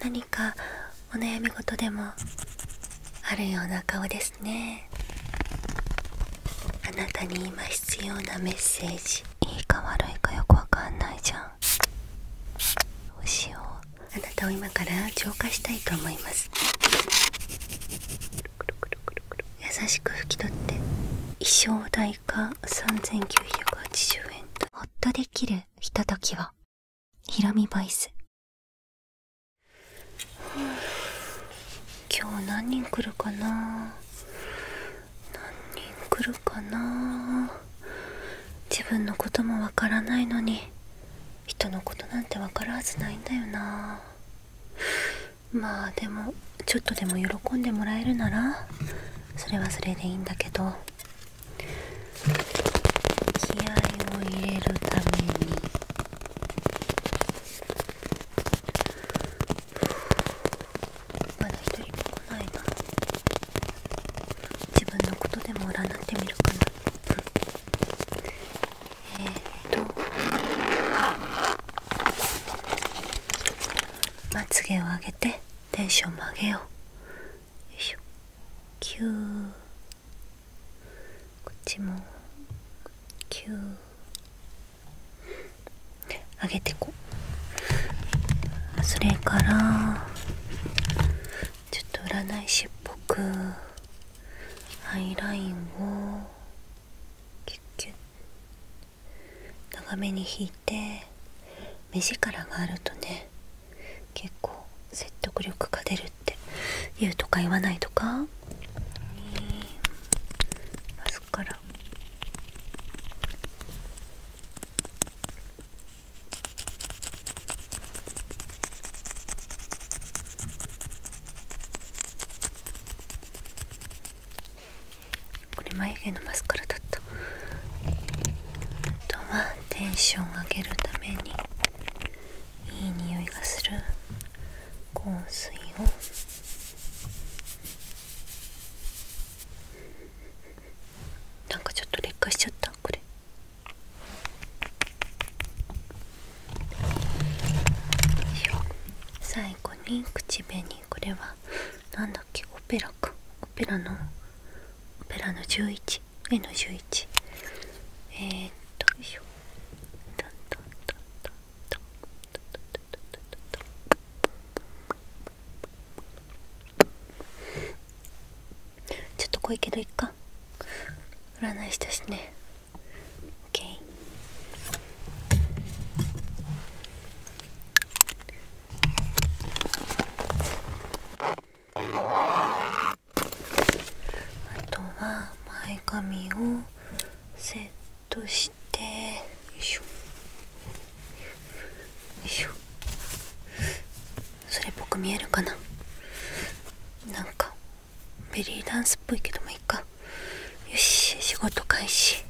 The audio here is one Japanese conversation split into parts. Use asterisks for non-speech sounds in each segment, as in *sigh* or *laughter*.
何かお悩み事でもあるような顔ですねあなたに今必要なメッセージいいか悪いかよくわかんないじゃんどうしようあなたを今から浄化したいと思います優しく拭き取って衣装代か3980円とほっとできるひとときは？ひらみボイス今日何人来るかな何人来るかな自分のこともわからないのに人のことなんてわかるはずないんだよなまあでもちょっとでも喜んでもらえるならそれはそれでいいんだけど気合を入れるためにまだ一人も来ないな自分のことでも占ってみるかなえっとまつげを上げてテンションも上げようしょキューこっちもキュー上げてこそれからちょっと占い師っぽくハイラインをキュッキュッ長めに引いて目力があるとね結構説得力が出るって言うとか言わないとかこれ眉毛のマスカラだったあとはテンションを上げるためにいい匂いがする香水をなんかちょっと劣化しちゃったこれ最後に口紅これはなんだっけオペラかオペラのオペラの11上の11えっとよいしょトントントントントントンちょっと濃いけどいっか占いしたしね OK あとは前髪をセットしてよいしょよいしょそれっぽく見えるかななんかベリーダンスっぽいけどもいいかよし仕事開始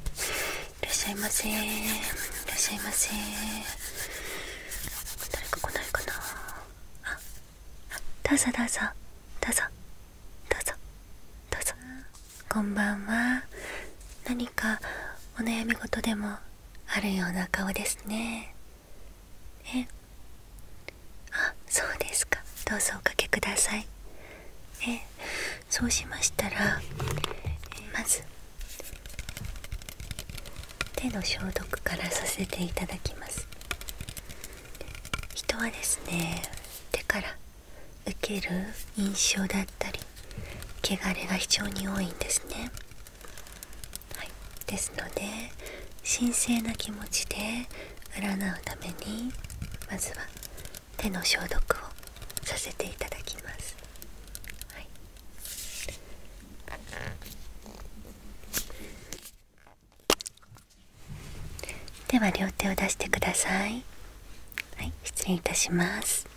いらっしゃいませいらっしゃいませ誰か来ないかなどうぞどうぞどうぞどうぞどうぞこんばんは何かお悩み事でもあるような顔ですねえあそうですかどうぞおかけくださいえそうしましたらまず手の消毒からさせていただきます人はですね手から受ける印象だったり汚れが非常に多いんですね、ですので神聖な気持ちで占うためにまずは手の消毒をさせていただきます、では両手を出してください失礼いたします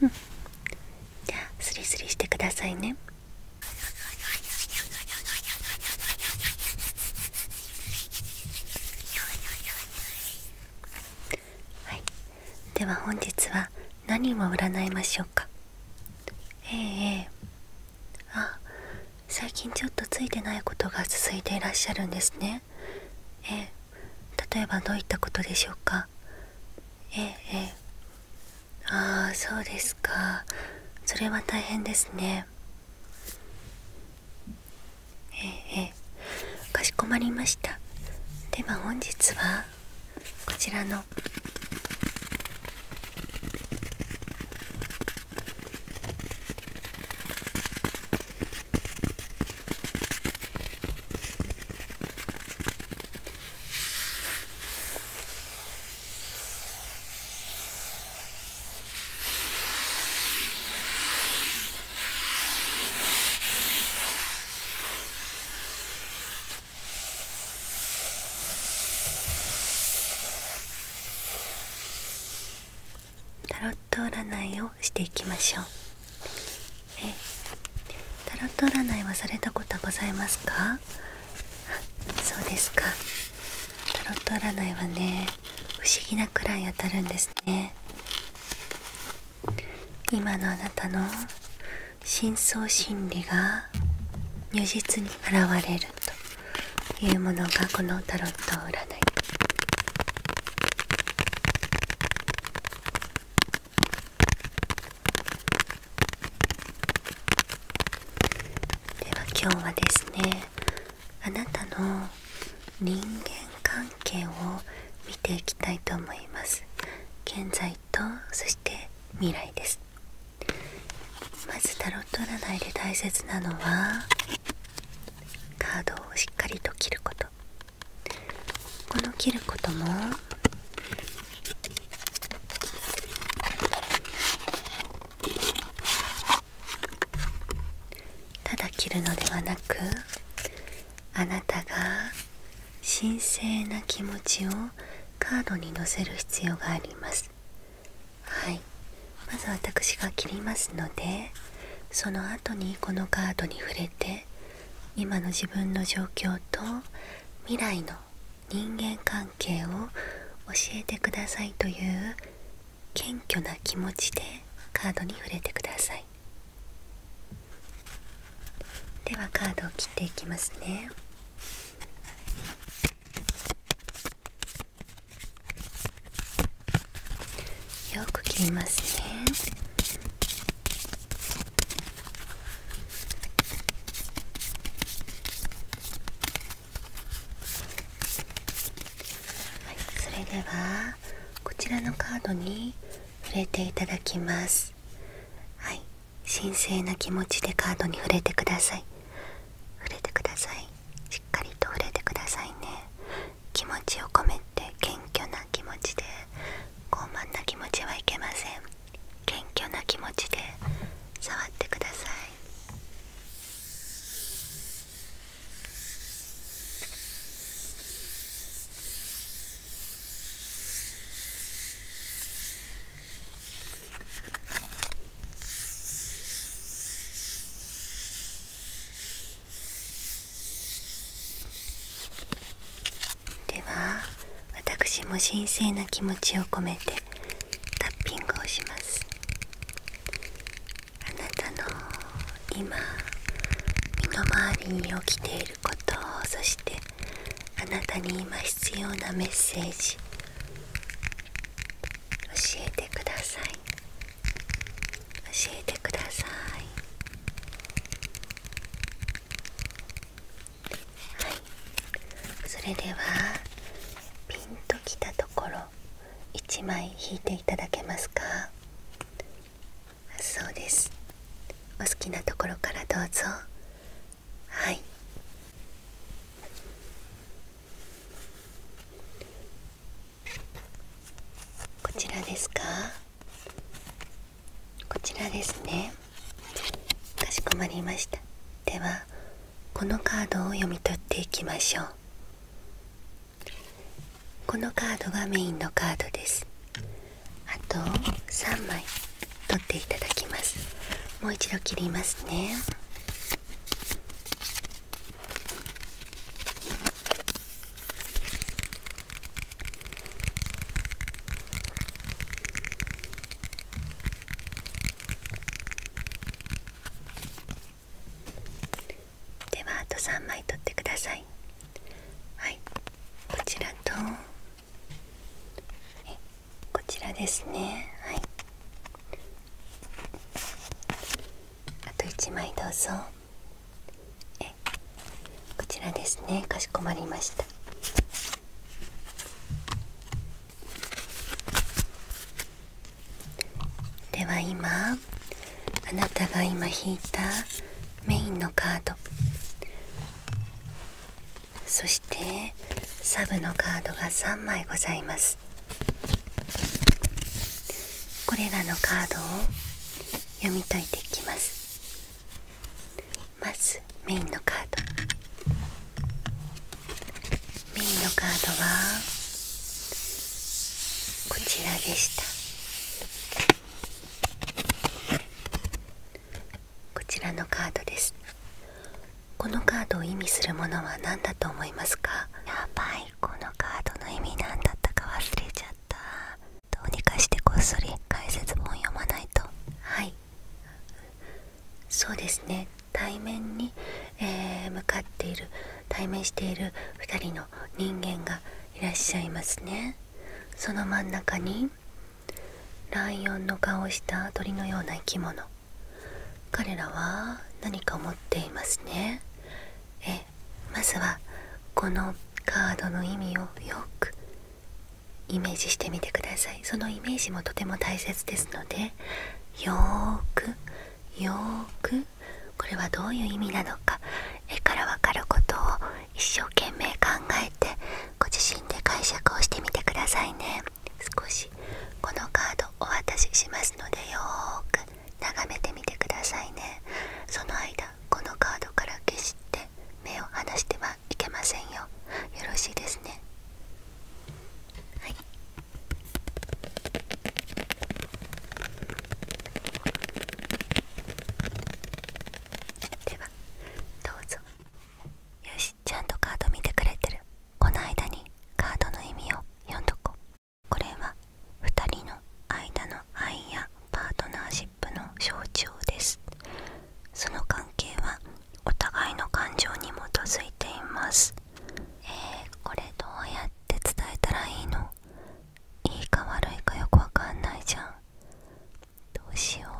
うんじゃあスリスリしてくださいねはいでは本日は何を占いましょうかえええあ最近ちょっとついてないことが続いていらっしゃるんですねええ例えばどういったことでしょうかええああそうですかそれは大変ですねええかしこまりましたでは本日はこちらのタロット占いをしていきましょうタロット占いはされたことはございますかそうですかタロット占いはね不思議なくらい当たるんですね今のあなたの深層心理が如実に現れるというものがこのタロット占いでは今日はですねあなたの人間関係を見ていきたいと思います現在とそして未来ですまずタロット占いで大切なのはカードをしっかりと切ることこの切ることもただ着るのではなくあなたが神聖な気持ちをカードに載せる必要がありますはいまず私が切りますのでその後にこのカードに触れて今の自分の状況と未来の人間関係を教えてくださいという謙虚な気持ちでカードに触れてくださいではカードを切っていきますねよく切りますねはい、それではこちらのカードに触れていただきますはい神聖な気持ちでカードに触れてください触れてくださいしっかりと触れてくださいね気持ちを込めて謙虚な気持ちで傲慢な気持ちはいけません謙虚な気持ちで触ってくださいでは私も神聖な気持ちを込めてタッピングをしますあなたの今身の回りに起きていることそしてあなたに今必要なメッセージ教えてください教えてくださいはいそれではピンときたところ1枚引いていただけますかそうですお好きなところからどうぞはいこちらですかこちらですねかしこまりましたではこのカードを読み取っていきましょうこのカードがメインのカードですあと3枚取っていただきますもう一度切りますねではあと3枚取ってくださいはいこちらとこちらですねはいあと1枚どうぞえこちらですねかしこまりましたでは今あなたが今引いたメインのカードそしてサブのカードが3枚ございますこれらのカードを読み解いていきますまずメインのカードメインのカードはこちらでしたこちらのカードですこのカードを意味するものは何だと思いますかやばいこのカードの意味何だったか忘れちゃったどうにかしてこっそり解説本読まないとはいそうですね対面に、え向かっている対面している2人の人間がいらっしゃいますねその真ん中にライオンの顔をした鳥のような生き物彼らは何か持っていますねえまずはこのカードの意味をよくイメージしてみてくださいそのイメージもとても大切ですのでよくよくこれはどういう意味なのか絵からわかることを一生懸命考えてご自身で解釈をしてみてくださいね少しこのカードお渡ししますのでよく眺めてみてくださいねその間このカードから消して目を離してはいけませんよよろしいですねはいではどうぞよしちゃんとカード見てくれてるこの間にカードの意味を読んどここれは2人の間の愛やパートナーシップの象徴ですその関係はお互いの感情に基づいていますえこれどうやって伝えたらいいのいいか悪いかよくわかんないじゃんどうしよう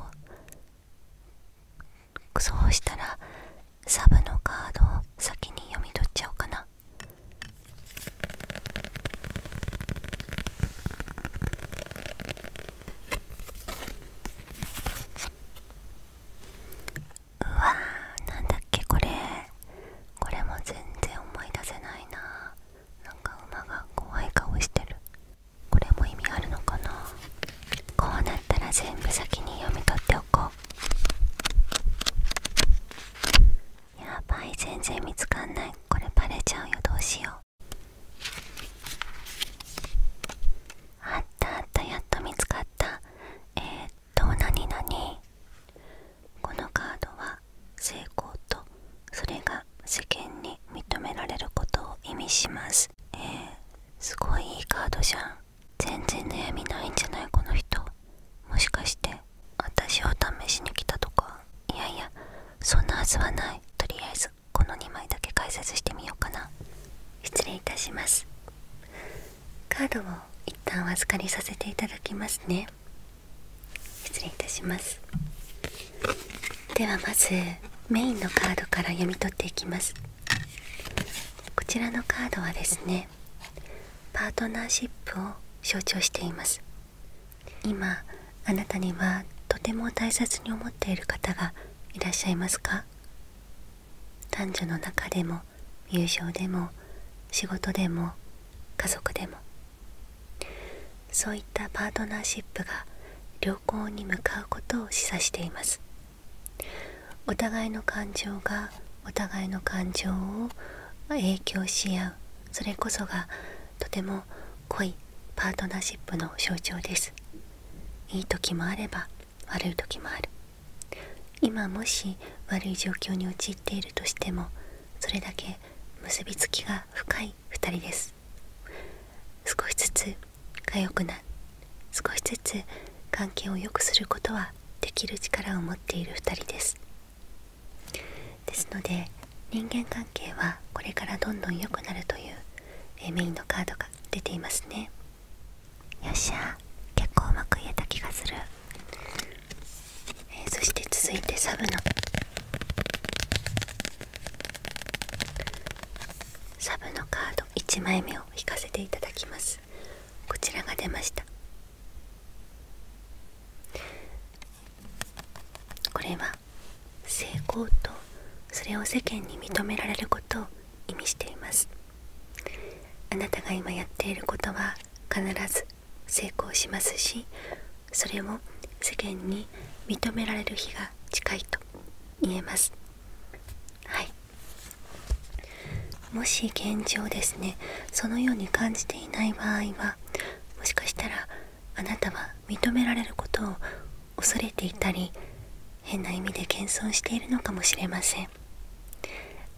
そうしたらサブのカードを先に読み取っちゃおうかなうわーなんだっけこれこれも全然思い出せないななんか馬が怖い顔してるこれも意味あるのかなこうなったら全部先に読み取っておこうやばい全然見つかんないこれバレちゃうよどうしようあったあったやっと見つかったえっと何々このカードは成功とそれが世間に認められることを意味しますえすごいいいカードじゃん全然悩みないんじゃないこの人もしかして私を試しに来たとかいやいやそんなはずはないとりあえずこの2枚だけ解説してみようかな失礼いたしますカードを一旦お預かりさせていただきますね失礼いたしますではまずメインのカードから読み取っていきますこちらのカードはですねパートナーシップを象徴しています今あなたにはとても大切に思っている方がいらっしゃいますか男女の中でも友情でも仕事でも家族でもそういったパートナーシップが良好に向かうことを示唆していますお互いの感情がお互いの感情を影響し合うそれこそがとても濃いパートナーシップの象徴ですいい時もあれば悪い時もある今もし悪い状況に陥っているとしてもそれだけ結びつきが深い2人です少しずつが良くなる少しずつ関係を良くすることはできる力を持っている2人ですですので人間関係はこれからどんどん良くなるというメインのカードが出ていますねよっしゃ結構うまく言えた気がする、えそして続いてサブのサブのカード1枚目を引かせていただきますこちらが出ましたこれは成功とそれを世間に認められることを意味していますあなたが今やっていることは必ず成功しますしそれも世間に認められる日が近いと言えますはいもし現状ですねそのように感じていない場合はもしかしたらあなたは認められることを恐れていたり変な意味で謙遜しているのかもしれません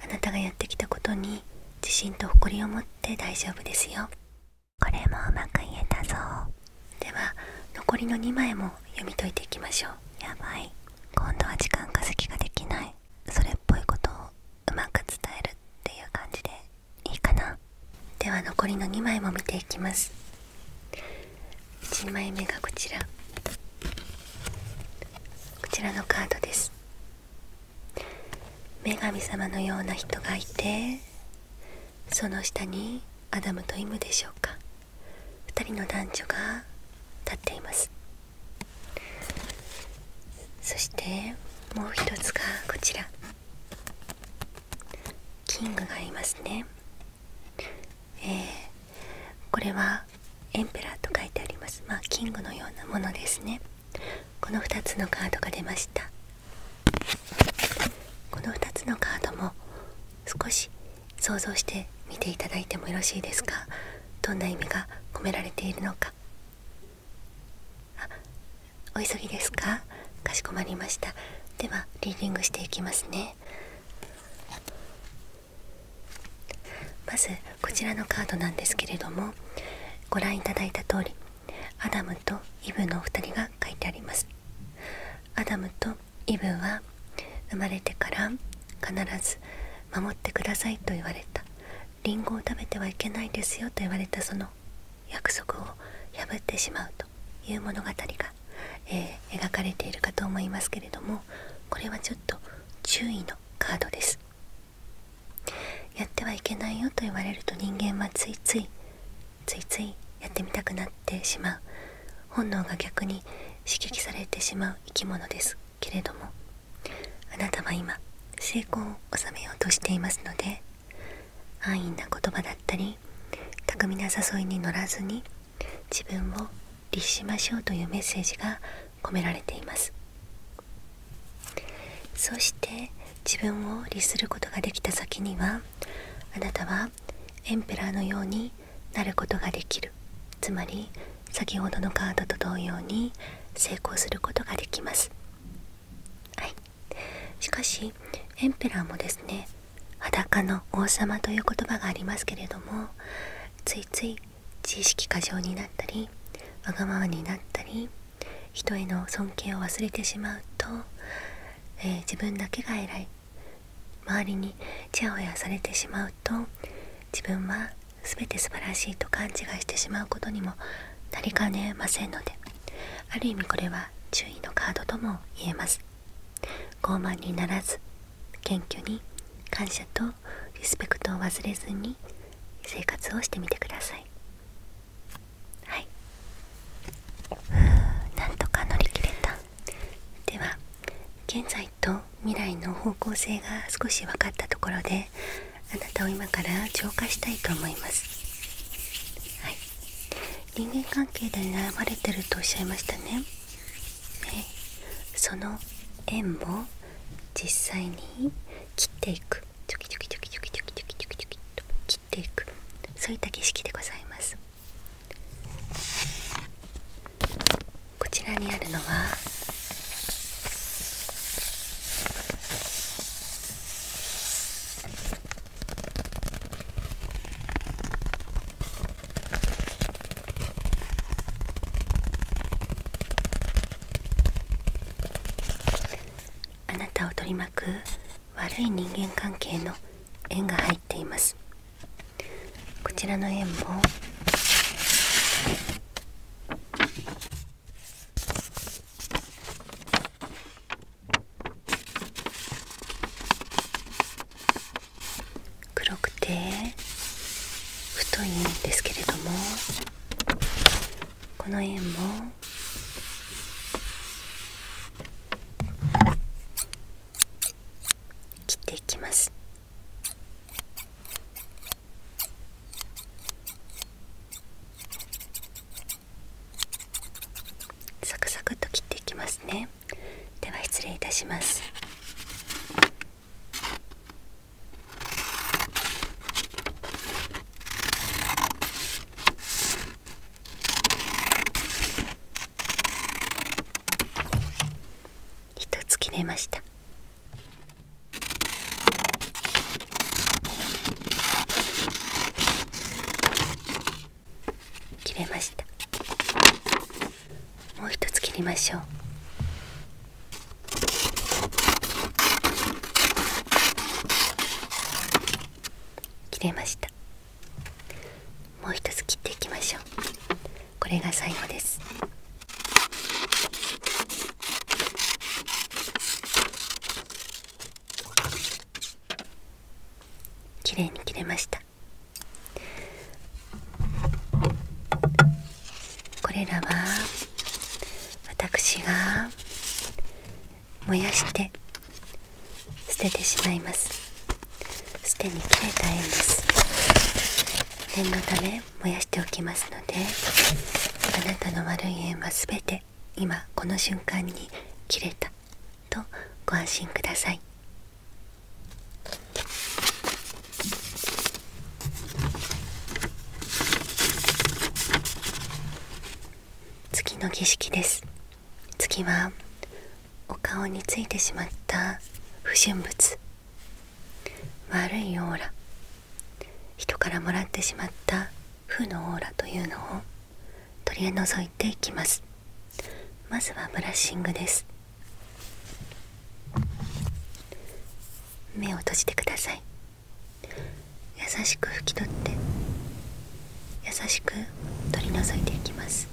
あなたがやってきたことに自信と誇りを持って大丈夫ですよこれもうまく言えたぞでは残りの2枚も読み解いていきましょうやばい今度は時間稼ぎができないそれっぽいことをうまく伝えるっていう感じでいいかなでは残りの2枚も見ていきます1枚目がこちらこちらのカードです女神様のような人がいてその下にアダムとイムでしょうか2人の男女が立っていますそしてもう一つがこちらキングがいますねこれはエンペラーと書いてありますまあキングのようなものですねこの2つのカードが出ましたこの2つのカードも少し想像して見ていただいてもよろしいですかどんな意味が込められているのかお急ぎですかかしこまりましたではリーディングしていきますねまずこちらのカードなんですけれどもご覧いただいた通りアダムとイブのお二人が書いてありますアダムとイブは生まれてから必ず守ってくださいと言われたりんごを食べてはいけないですよと言われたその約束を破ってしまうという物語が、え描かれているかと思いますけれどもこれはちょっと注意のカードですやってはいけないよと言われると人間はついついついついやってみたくなってしまう本能が逆に刺激されてしまう生き物ですけれどもあなたは今成功を収めようとしていますので安易な言葉だったり巧みな誘いに乗らずに自分を律しましょうというメッセージが込められていますそして自分を律することができた先にはあなたはエンペラーのようになることができるつまり先ほどのカードと同様に成功することができますはいしかしエンペラーもですね裸の王様という言葉がありますけれどもついつい知識過剰になったりわがままになったり人への尊敬を忘れてしまうと、え自分だけが偉い周りにちやほやされてしまうと自分は全て素晴らしいと勘違いしてしまうことにもなりかねませんのである意味これは注意のカードとも言えます傲慢にならず謙虚に感謝とリスペクトを忘れずに生活をしてみてくださいはいなんとか乗り切れたでは現在と未来の方向性が少し分かったところであなたを今から浄化したいと思いますはい人間関係で悩まれてるとおっしゃいましたねその円も実際に切っていくチョキチョキチョキチョキチョキチョキチョキチョキと切っていくそういった儀式でございますこちらにあるのはあなたを取り巻く悪い人間関係の円が入っていますこちらの円も黒くて太いんですけれどもこの円も切っていきますサクサクと切っていきますねでは失礼いたします一つ決めました。決めました。もう一つ切りましょう切れましたもう一つ切っていきましょうこれが最後です綺麗に切れましたこれらは私が燃やして捨ててしまいますすでに切れた縁です念のため燃やしておきますのであなたの悪い縁は全て今この瞬間に切れたとご安心ください次の儀式です次はお顔についてしまった不純物悪いオーラ人からもらってしまった負のオーラというのを取り除いていきますまずはブラッシングです目を閉じてください優しく拭き取って優しく取り除いていきます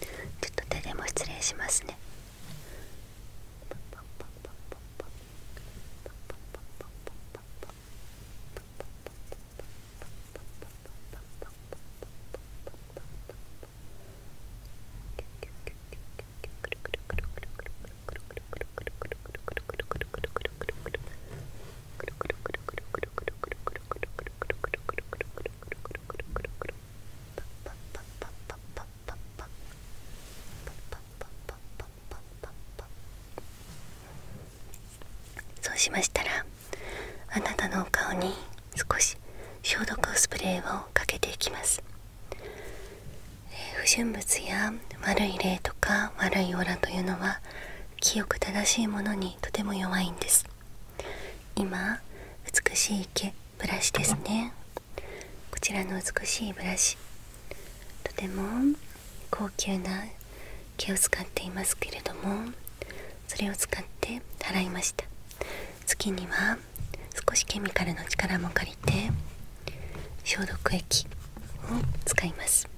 ちょっと手でも失礼しますねくるくるくるくるくるくそうしましたらあなたのお顔に少し消毒スプレーをかけていきます、不純物や悪い霊とか悪いオーラというのはは清く正しいものにとても弱いんです今美しい毛ブラシですねこちらの美しいブラシとても高級な毛を使っていますけれどもそれを使って洗いました月には少しケミカルの力も借りて消毒液を使います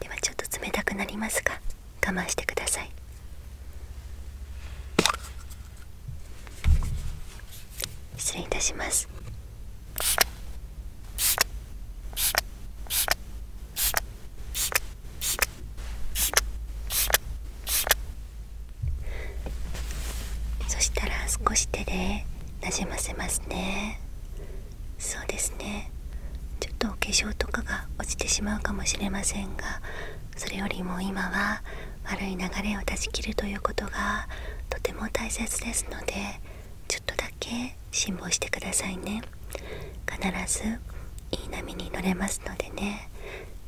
ではちょっと冷たくなりますか？我慢してください失礼いたしますそしたら少し手でなじませますねそうですねちょっとお化粧とかが落ちてしまうかもしれませんがそれよりも今は悪い流れを断ち切るということがとても大切ですのでちょっとだけ辛抱してくださいね必ずいい波に乗れますのでね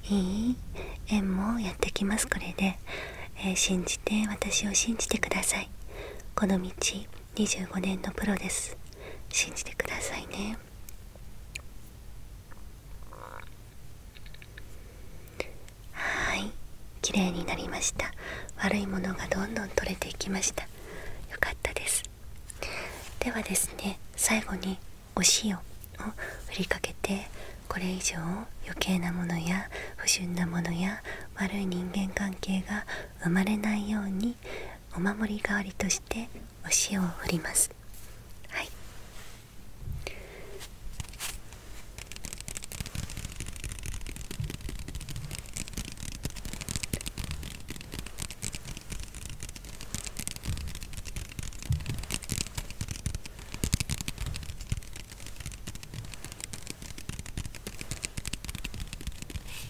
いい縁もやってきますこれで、え信じて私を信じてくださいこの道25年のプロです信じてくださいねはい綺麗になりました悪いものがどんどん取れていきましたよかったですではですね最後にお塩を振りかけてこれ以上余計なものや不純なものや悪い人間関係が生まれないようにお守り代わりとしてお塩を振りますはい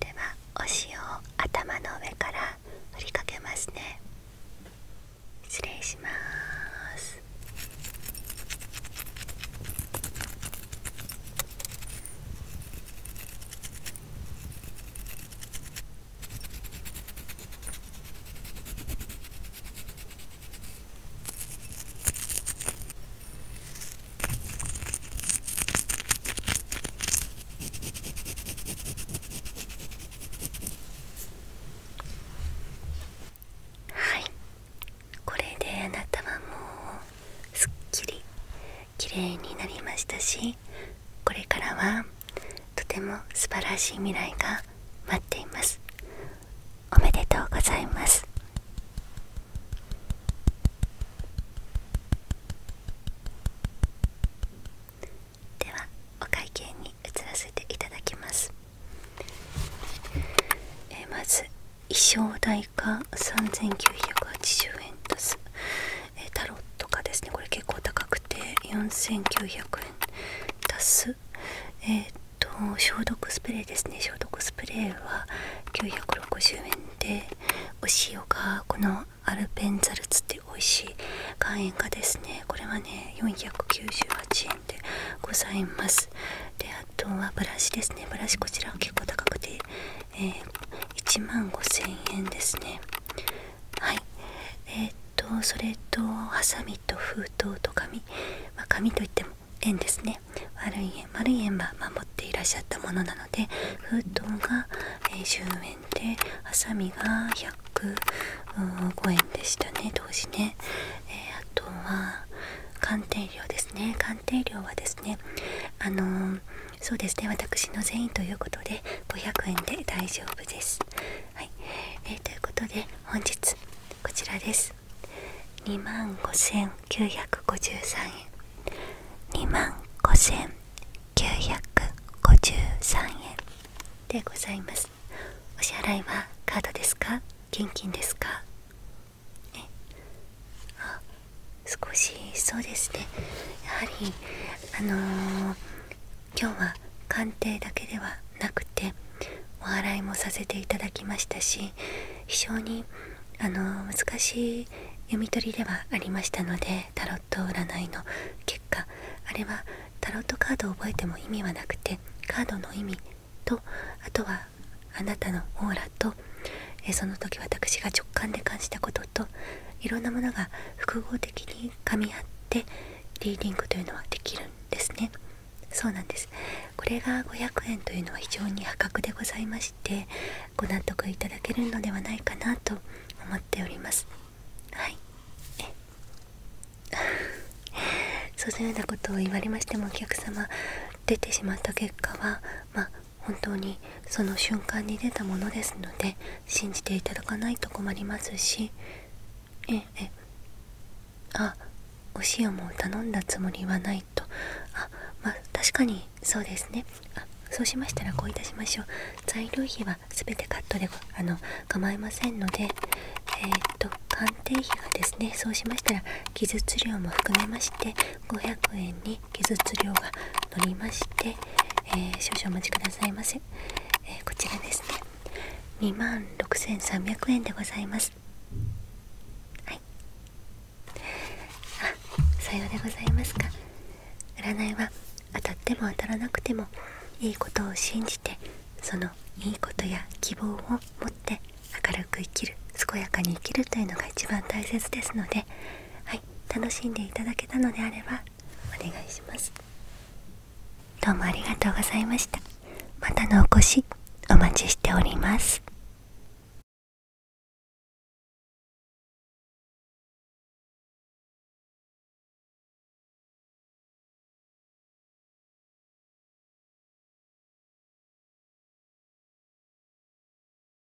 ではお塩を頭の上から振りかけますね失礼しますはいこれであなたはもうすっきり綺麗になりましたしこれからはとても素晴らしい未来が待っていますおめでとうございますではお会計に移らせていただきますえまず衣装代が3980円ですえー、タロッですねこれ結構高くて4900円足すえっ、と消毒スプレーですね消毒スプレーは960円でお塩がこのアルペンザルツって美味しい岩塩がですねこれはね498円でございますであとはブラシですねブラシこちらは結構高くてえ1万5000円ですねはいえっとそれとハサミと封筒と紙、まあ、紙といっても円ですね悪い円丸い円は守っていらっしゃったものなので封筒が、え10円でハサミが105円でしたね当時ね、えあとは鑑定料ですね鑑定料はですねあのそうですね私の善意ということで500円で大丈夫ですはい、えということで本日こちらです2万5953円2万5953円でございますお支払いはカードですか現金ですか少しそうですねやはりあの今日は鑑定だけではなくてお笑いもさせていただきましたし非常にあの難しい読み取りではありましたのでタロット占いの結果あれはタロットカードを覚えても意味はなくてカードの意味とあとはあなたのオーラとえその時私が直感で感じた言といろんなものが複合的に噛み合ってリーディングというのはできるんですねそうなんですこれが500円というのは非常に破格でございましてご納得いただけるのではないかなと思っておりますはいえ *laughs* そのようなことを言われましてもお客様出てしまった結果はまあ本当にその瞬間に出たものですので信じていただかないと困りますしええあお塩も頼んだつもりはないとあまあ確かにそうですねあそうしましたらこういたしましょう材料費は全てカットであの構いませんのでえっ、と鑑定費がですねそうしましたら技術料も含めまして500円に技術量が乗りまして、え少々お待ちくださいませ、えこちらですね2 6300円でございますはいさようでございますか占いは当たっても当たらなくてもいいことを信じてそのいいことや希望を持って明るく生きる健やかに生きるというのが一番大切ですのではい楽しんでいただけたのであればお願いしますどうもありがとうございましたまたのお越しお待ちしております